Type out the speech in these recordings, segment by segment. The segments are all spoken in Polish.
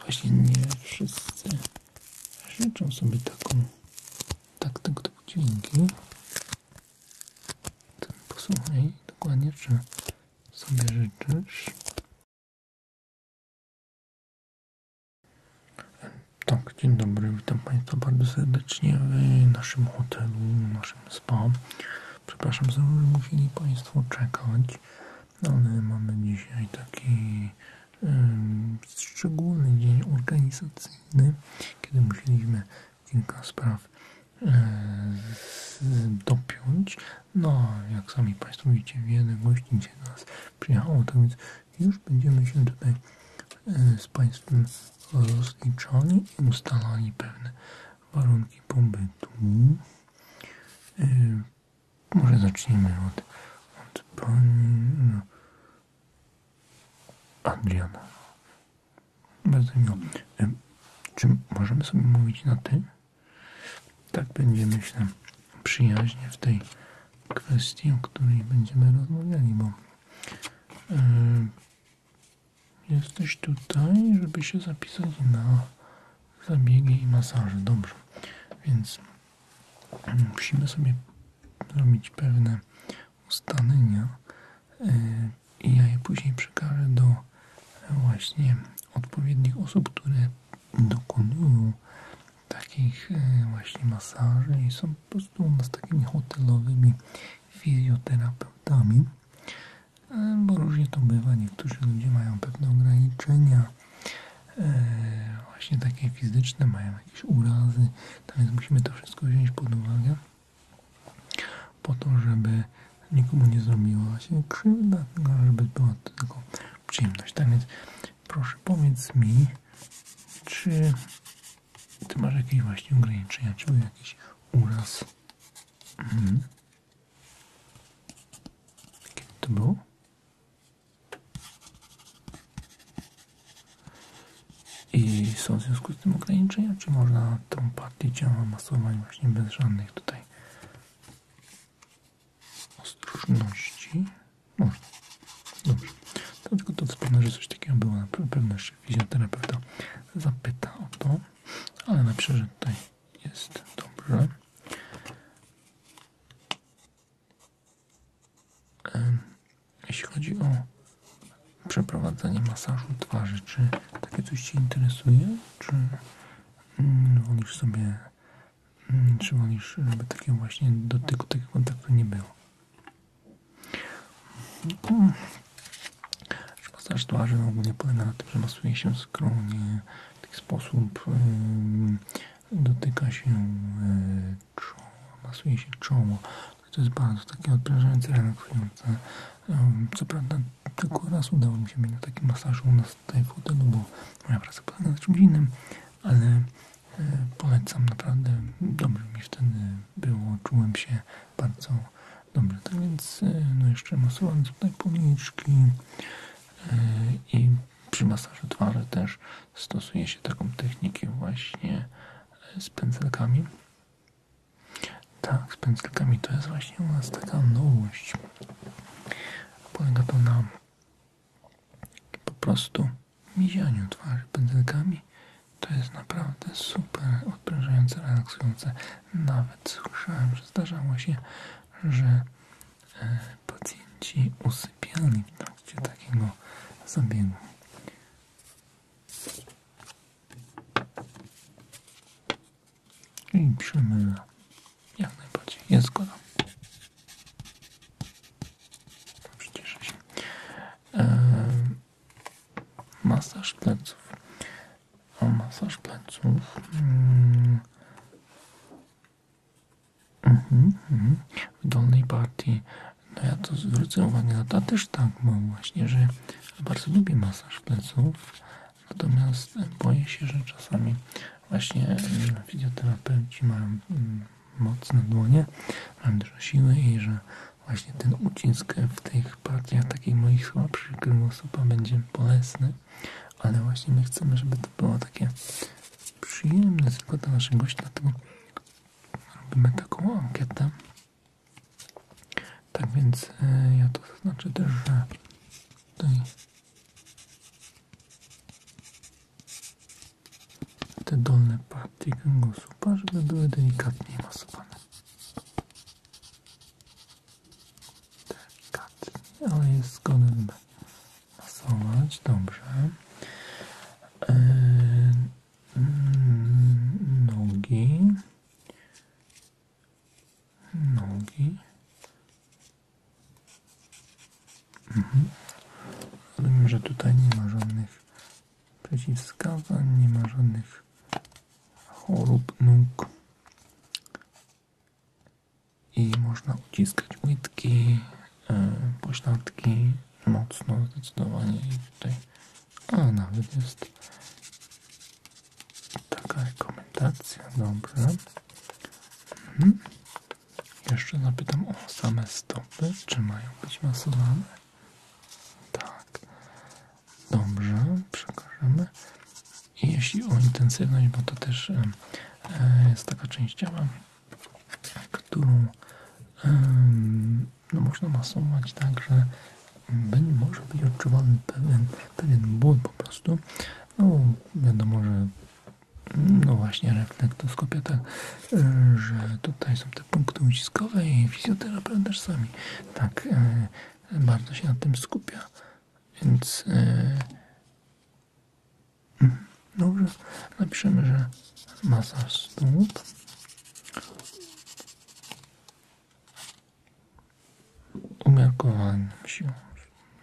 Właśnie nie wszyscy życzą tak, tak, tak, sobie taką taką typu dźwięki. Ten posłuchaj dokładnie, czy sobie życzysz. Tak, dzień dobry, witam Państwa bardzo serdecznie w naszym hotelu, w naszym spa. Przepraszam, że musieli Państwo czekać ale no, mamy dzisiaj taki szczególny dzień organizacyjny, kiedy musieliśmy kilka spraw e, dopiąć. No, jak sami Państwo widzicie, wiele gości do nas przyjechało, tak więc już będziemy się tutaj e, z Państwem rozliczali i ustalali pewne warunki pobytu. E, może zacznijmy od, od pani no. Adriana. Bardzo miło. Czy możemy sobie mówić na tym? Tak będzie, myślę, przyjaźnie w tej kwestii, o której będziemy rozmawiali, bo jesteś tutaj, żeby się zapisać na zabiegi i masaży, Dobrze, więc musimy sobie robić pewne ustalenia y, i ja je później przekażę do właśnie odpowiednich osób, które dokonują takich y, właśnie masaży i są po prostu u nas takimi hotelowymi fizjoterapeutami, y, bo różnie to bywa. Niektórzy ludzie mają pewne ograniczenia E, właśnie takie fizyczne, mają jakieś urazy, więc musimy to wszystko wziąć pod uwagę po to, żeby nikomu nie zrobiło się krzywda, żeby była to tylko przyjemność. proszę powiedz mi, czy ty masz jakieś właśnie ograniczenia, czy jakiś uraz? Mhm. Kiedy to było? I są w związku z tym ograniczenia, czy można tą partię ciała masować właśnie bez żadnych tutaj ostrożności? Można. Dobrze. Dlatego to wspomnę, że coś takiego było. Na pewno jeszcze fizjoterapeuta zapyta o to, ale na że tutaj jest dobrze. Jeśli chodzi o przeprowadzanie masażu twarzy, czy takie coś Cię interesuje? Czy mm, wolisz sobie, mm, czy wolisz, żeby takiego właśnie dotyku, takiego kontaktu nie było? Masaż twarzy ogólnie polega na tym, że masuje się skromnie w taki sposób dotyka się e, czoła, masuje się czoło. To jest bardzo takie odprężające, relaksujące. Co prawda tylko raz udało mi się mieć na takim u nas tutaj w hotelu, bo moja praca polega na czymś innym, ale e, polecam naprawdę, dobrze mi wtedy było, czułem się bardzo dobrze. Tak więc e, no jeszcze masowałem tutaj policzki i przy masażu twarzy też stosuje się taką technikę właśnie e, z pędzelkami. Tak, z pędzelkami to jest właśnie u nas taka nowość. Polega to na po prostu mizianiu twarzy pędzelkami. To jest naprawdę super odprężające, relaksujące. Nawet słyszałem, że zdarzało się, że e, pacjenci usypiali w trakcie takiego zabiegu. I przemyla. Jak najbardziej. Jest zgoda. Przecież się. E, masaż pleców. O masaż pleców. Mm. Mhm, mhm. W dolnej partii, no ja to zwrócę uwagę, no ta też tak mam właśnie, że bardzo lubię masaż pleców, natomiast boję się, że czasami właśnie fizjoterapeuci mają mm, mocne dłonie, mam dużo siły i że właśnie ten ucisk w tych partiach takich moich słabszych kręgosłupa będzie bolesny, ale właśnie my chcemy, żeby to było takie przyjemne tylko dla naszego gości, dlatego robimy taką ankietę. Tak więc e, ja to zaznaczę że tutaj te dolne partie kręgosłupa, żeby były delikatniej masowane. Delikatnie, ale jest zgodny masować, dobrze. E, mm, nogi. Nogi. Mhm. że tutaj nie ma żadnych przeciwwskazań, nie ma żadnych chorób nóg i można uciskać łydki, e, pośladki mocno, zdecydowanie i tutaj, a nawet jest taka rekomendacja, dobrze. Mhm. Jeszcze zapytam o same stopy, czy mają być masowane? Tak. Dobrze, przekażemy. I jeśli o intensywność, bo to też e, jest taka część ciała, którą tak, no, można masować tak, że może być odczuwany pewien, pewien ból po prostu. No wiadomo, że no właśnie reflektoskopia tak, że tutaj są te punkty uciskowe i fizjoterapeuta sami tak e, bardzo się na tym skupia. Więc e, Mhm. Dobrze, napiszemy, że masa stóp. Umiarkowanym siłą.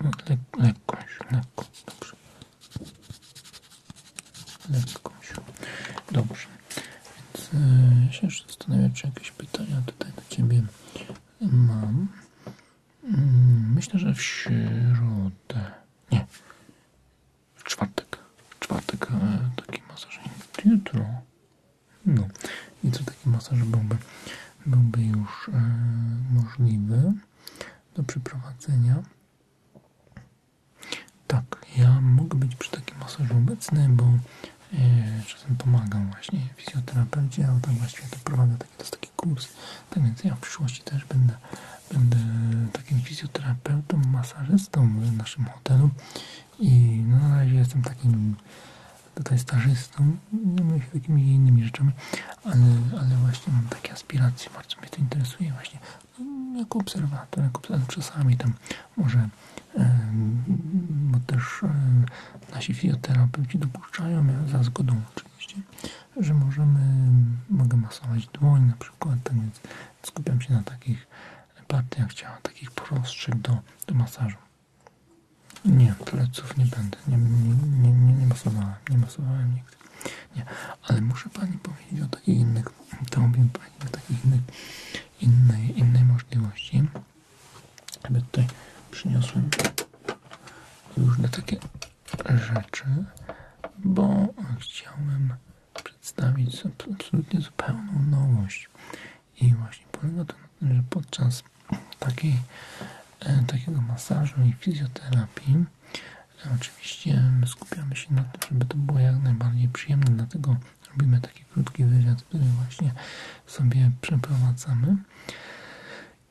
No, le lekkość, lekko, dobrze. Lekką siłą. Dobrze. Więc yy, się jeszcze zastanawiam, czy jakieś pytania tutaj do Ciebie mam. Mm, myślę, że w środę nie. W czwartek. W czwartek e, taki masaż. Jutro. No. I co taki masaż byłby, byłby już e, możliwy do przeprowadzenia? Tak, ja mogę być przy takim masażu obecny, bo e, czasem pomagam właśnie fizjoterapeucie, ale tak właśnie to prowadzę takie, to jest tak więc ja w przyszłości też będę, takim fizjoterapeutą, masażystą w naszym hotelu i no, na razie jestem takim tutaj stażystą, no się takimi innymi rzeczami, ale, ale właśnie mam takie aspiracje, bardzo mnie to interesuje właśnie no, jako obserwator, jako obserwator czasami tam może bo też nasi fizjoterapeuci dopuszczają za zgodą oczywiście że możemy, mogę masować dłoń na przykład, tak więc skupiam się na takich partiach ciała, takich prostszych do, do masażu. Nie, pleców nie będę, nie, nie, nie, masowałem, nie masowałem nigdy. Nie, ale muszę Pani powiedzieć o takich innych, to mówię Pani o takich innych, innej, innej możliwości. Aby tutaj przyniosłem na takie rzeczy, bo chciałbym przedstawić absolutnie zupełną nowość. I właśnie polega to na tym, że podczas e, takiego masażu i fizjoterapii e, oczywiście skupiamy się na tym, żeby to było jak najbardziej przyjemne, dlatego robimy taki krótki wywiad, który właśnie sobie przeprowadzamy,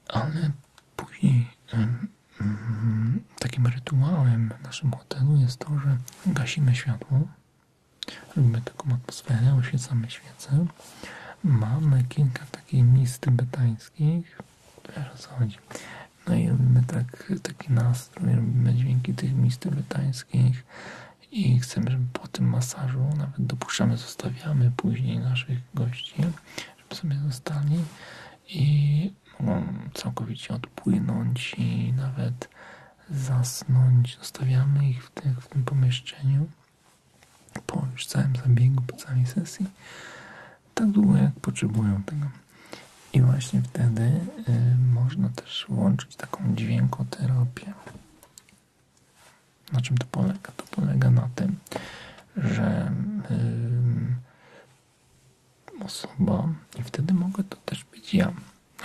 ale później Mhm. takim rytuałem w naszym hotelu jest to, że gasimy światło, robimy taką atmosferę, oświecamy świecę. Mamy kilka takich miejsc tybetańskich, wiesz o co chodzi. No i robimy tak, taki nastrój, robimy dźwięki tych miejsc tybetańskich i chcemy, żeby po tym masażu nawet dopuszczamy, zostawiamy później naszych gości, żeby sobie zostali i mogą całkowicie odpłynąć i nawet zasnąć. Zostawiamy ich w, tym pomieszczeniu po już całym zabiegu, po całej sesji, tak długo jak potrzebują tego. I właśnie wtedy y, można też włączyć taką terapię. Na czym to polega? To polega na tym, że osoba i wtedy mogę to też być ja.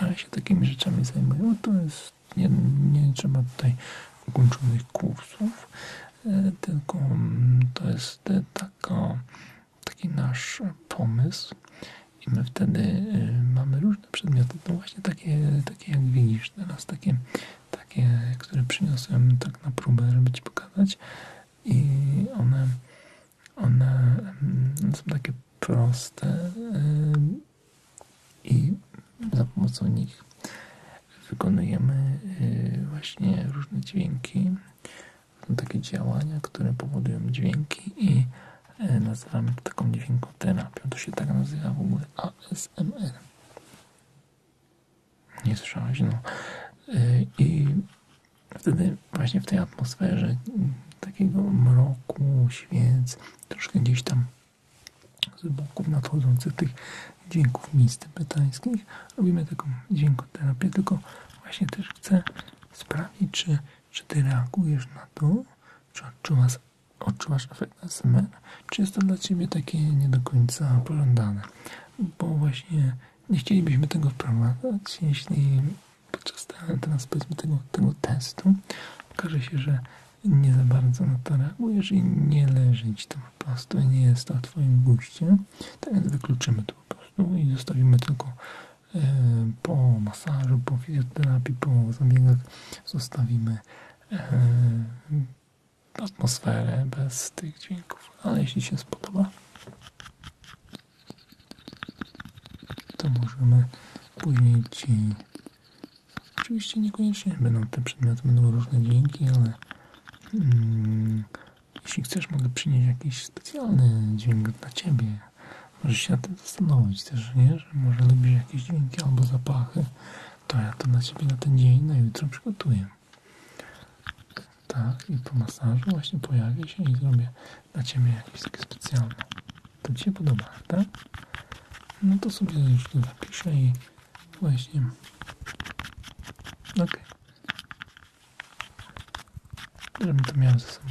ale się takimi rzeczami zajmuję. To jest, nie, nie trzeba tutaj ukończonych kursów, e, tylko mm, to jest e, taka, taki nasz pomysł i my wtedy e, mamy różne przedmioty, to właśnie takie, takie jak widzisz teraz, takie, takie, które przyniosłem tak na próbę, żeby Ci pokazać i one one mm, są takie proste y, i za pomocą nich wykonujemy y, właśnie różne dźwięki, są takie działania, które powodują dźwięki i y, nazywamy to taką dźwiękoterapią. To się tak nazywa w ogóle ASMR. Nie słyszałaś? No. I wtedy właśnie w tej atmosferze mm, takiego mroku, świec, troszkę gdzieś tam z boków nadchodzących tych dźwięków mistypetańskich, robimy taką dźwiękoterapię, tylko właśnie też chcę sprawdzić, czy, czy ty reagujesz na to, czy odczuwasz, odczuwasz efekt ASMR, czy jest to dla ciebie takie nie do końca pożądane, bo właśnie nie chcielibyśmy tego wprowadzać, jeśli podczas tego, testu okaże się, że nie za bardzo na to reagujesz i nie leży ci to po prostu, nie jest to Twoim guście, więc wykluczymy to po prostu i zostawimy tylko e, po masażu, po fizjoterapii, po zabiegach, zostawimy e, atmosferę bez tych dźwięków, ale jeśli się spodoba, to możemy później ci... Oczywiście niekoniecznie będą te przedmioty, będą różne dźwięki, ale mm, jeśli chcesz, mogę przynieść jakiś specjalny dźwięk dla Ciebie. Możesz się na tym zastanowić też, nie? Że może lubię jakieś dźwięki albo zapachy. To ja to na Ciebie na ten dzień, na jutro przygotuję. Tak, i po masażu właśnie pojawię się i zrobię dla Ciebie jakieś takie specjalne. To Ci się podoba, prawda? Tak? No to sobie już tu zapiszę i właśnie... Okej. Okay. Żebym to miał ze sobą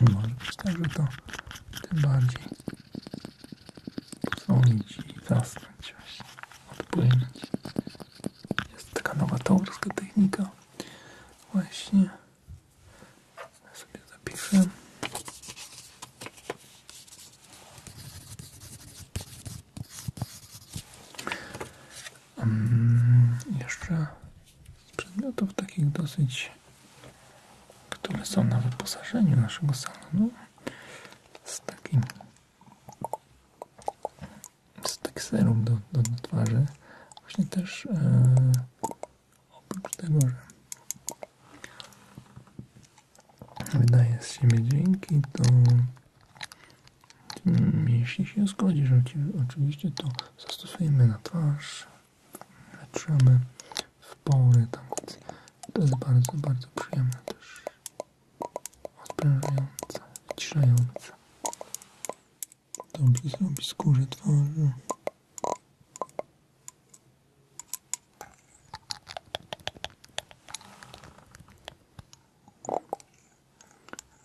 Może być tak, że to tym bardziej Dzwonić i zasnąć właśnie, odpłynąć. Jest taka nowatorska technika właśnie. Ja sobie zapiszę. Mm, jeszcze z przedmiotów takich dosyć, które są na wyposażeniu naszego salonu, z takim jest tak do, do, do twarzy. Właśnie też e, oprócz tego, że wydaje z siebie dźwięki, to jeśli się zgodzisz, oczywiście to zastosujemy na twarz, leczymy w pory, to jest bardzo, bardzo przyjemne też odprężające, wyciszające. Dobrze zrobi skórze twarzy.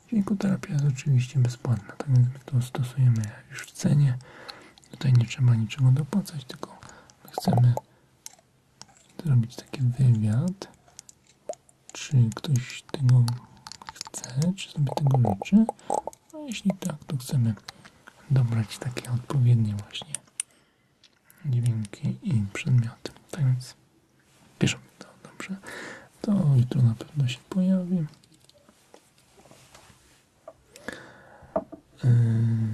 Dźwiękoterapia jest oczywiście bezpłatna, tak jak my to stosujemy już w cenie. Tutaj nie trzeba niczego dopłacać, tylko chcemy zrobić taki wywiad, czy ktoś tego chce, czy sobie tego życzy. A no, jeśli tak, to chcemy dobrać takie odpowiednie właśnie dźwięki i przedmioty. Tak więc piszemy to dobrze. To jutro na pewno się pojawi. Yy,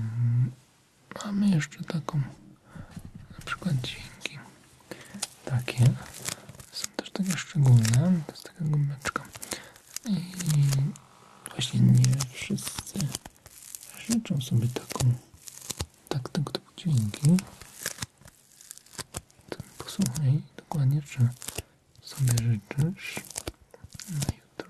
Mamy jeszcze taką, na przykład dźwięki takie. Są też takie szczególne. To jest taka gumeczka. I właśnie nie wszyscy życzą sobie taką, tak tego tak, typu tak dźwięki. To posłuchaj dokładnie, czy sobie życzysz na jutro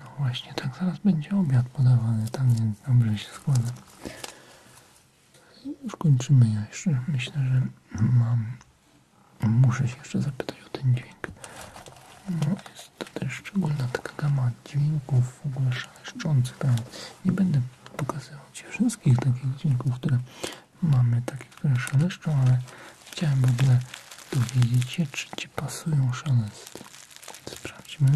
No właśnie, tak zaraz będzie obiad podawany, tam więc dobrze się składa. Już kończymy. Ja jeszcze myślę, że mam. Muszę się jeszcze zapytać o ten dźwięk. No, jest to też szczególna taka gama dźwięków w ogóle szeleszcząca. Tak. Nie będę pokazywał Ci wszystkich takich dźwięków, które mamy, takie, które szeleszczą, ale chciałem w ogóle dowiedzieć się, czy Ci pasują szelesty. Sprawdźmy.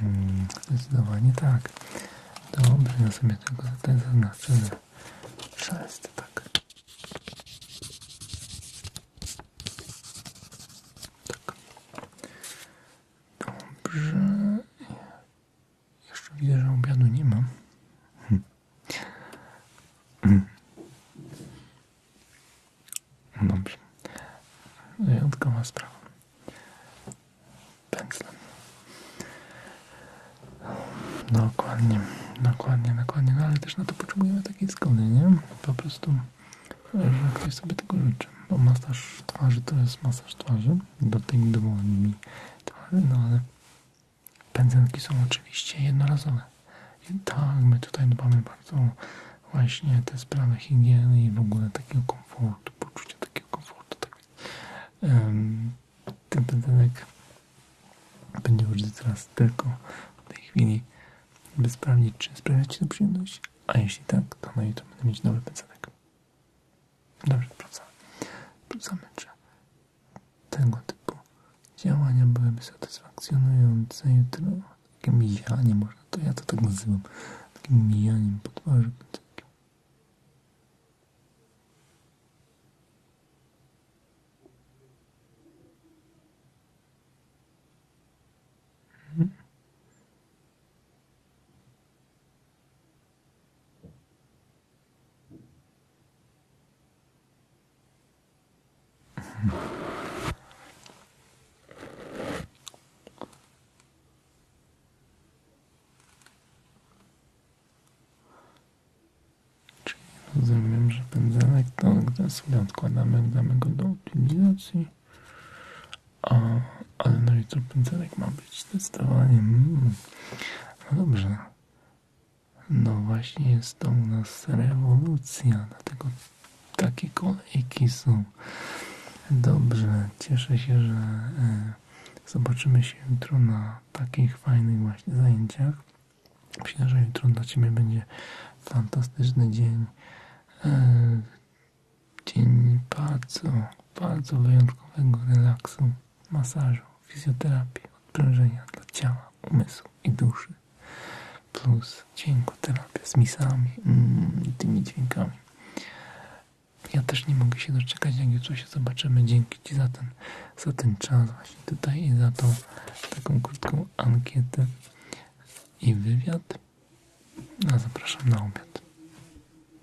Hmm, zdecydowanie tak. Dobrze, ja sobie tego tutaj zaznaczę, że szelest, tak. Tak. Dobrze. Jeszcze widzę, że obiadu nie ma. Hmm. Hmm. Dobrze. Wyjątkowa sprawa. Pędzlem. Dokładnie, dokładnie, dokładnie. No, ale też na to potrzebujemy takiej zgody, nie? Po prostu, że sobie tego życzy bo no, masaż twarzy to jest masaż twarzy, dotyk dłoni twarzy, no ale pędzelki są oczywiście jednorazowe. I tak, my tutaj dbamy bardzo właśnie te sprawy higieny i w ogóle takiego komfortu, poczucia takiego komfortu. Tak ten pędzelek będzie użyty teraz tylko w tej chwili, by sprawdzić, czy sprawia Ci to przyjemność, a jeśli tak, to no i to będę mieć nowy pędzelek. Dobrze, wracamy. Wracamy, że tego typu działania byłyby satysfakcjonujące jutro. Takie mijanie, można to ja to tak nazywam. Takim mijaniem po twarzy. Czyli rozumiem, że pędzelek to gdy sobie odkładamy, mamy go do utylizacji o, ale no i jutro pędzelek ma być zdecydowanie. Mm. No dobrze. No właśnie jest to u nas rewolucja, dlatego takie kolejki są. Dobrze, cieszę się, że e, zobaczymy się jutro na takich fajnych właśnie zajęciach. Myślę, że jutro dla Ciebie będzie fantastyczny dzień. E, dzień bardzo, wyjątkowego relaksu, masażu, fizjoterapii, odprężenia dla ciała, umysłu i duszy. Plus dźwiękoterapia z misami, mm, tymi dźwiękami. Ja też nie mogę się doczekać, jak jutro się zobaczymy. Dzięki Ci za ten czas właśnie tutaj i za tą taką krótką ankietę i wywiad. A zapraszam na obiad.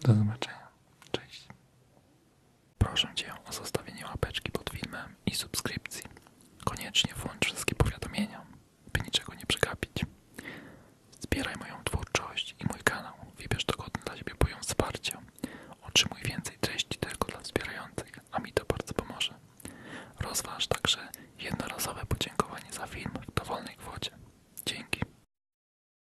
Do zobaczenia. Cześć. Proszę Cię o zostawienie łapeczki pod filmem i subskrypcji. Koniecznie włącz wszystkie powiadomienia, by niczego nie przegapić. Zbieraj moją twórczość i mój kanał. Wybierz dogodny dla siebie poziom wsparcia. Otrzymuj więcej treści tylko dla wspierających, a mi to bardzo pomoże. Rozważ także jednorazowe podziękowanie za film w dowolnej kwocie. Dzięki.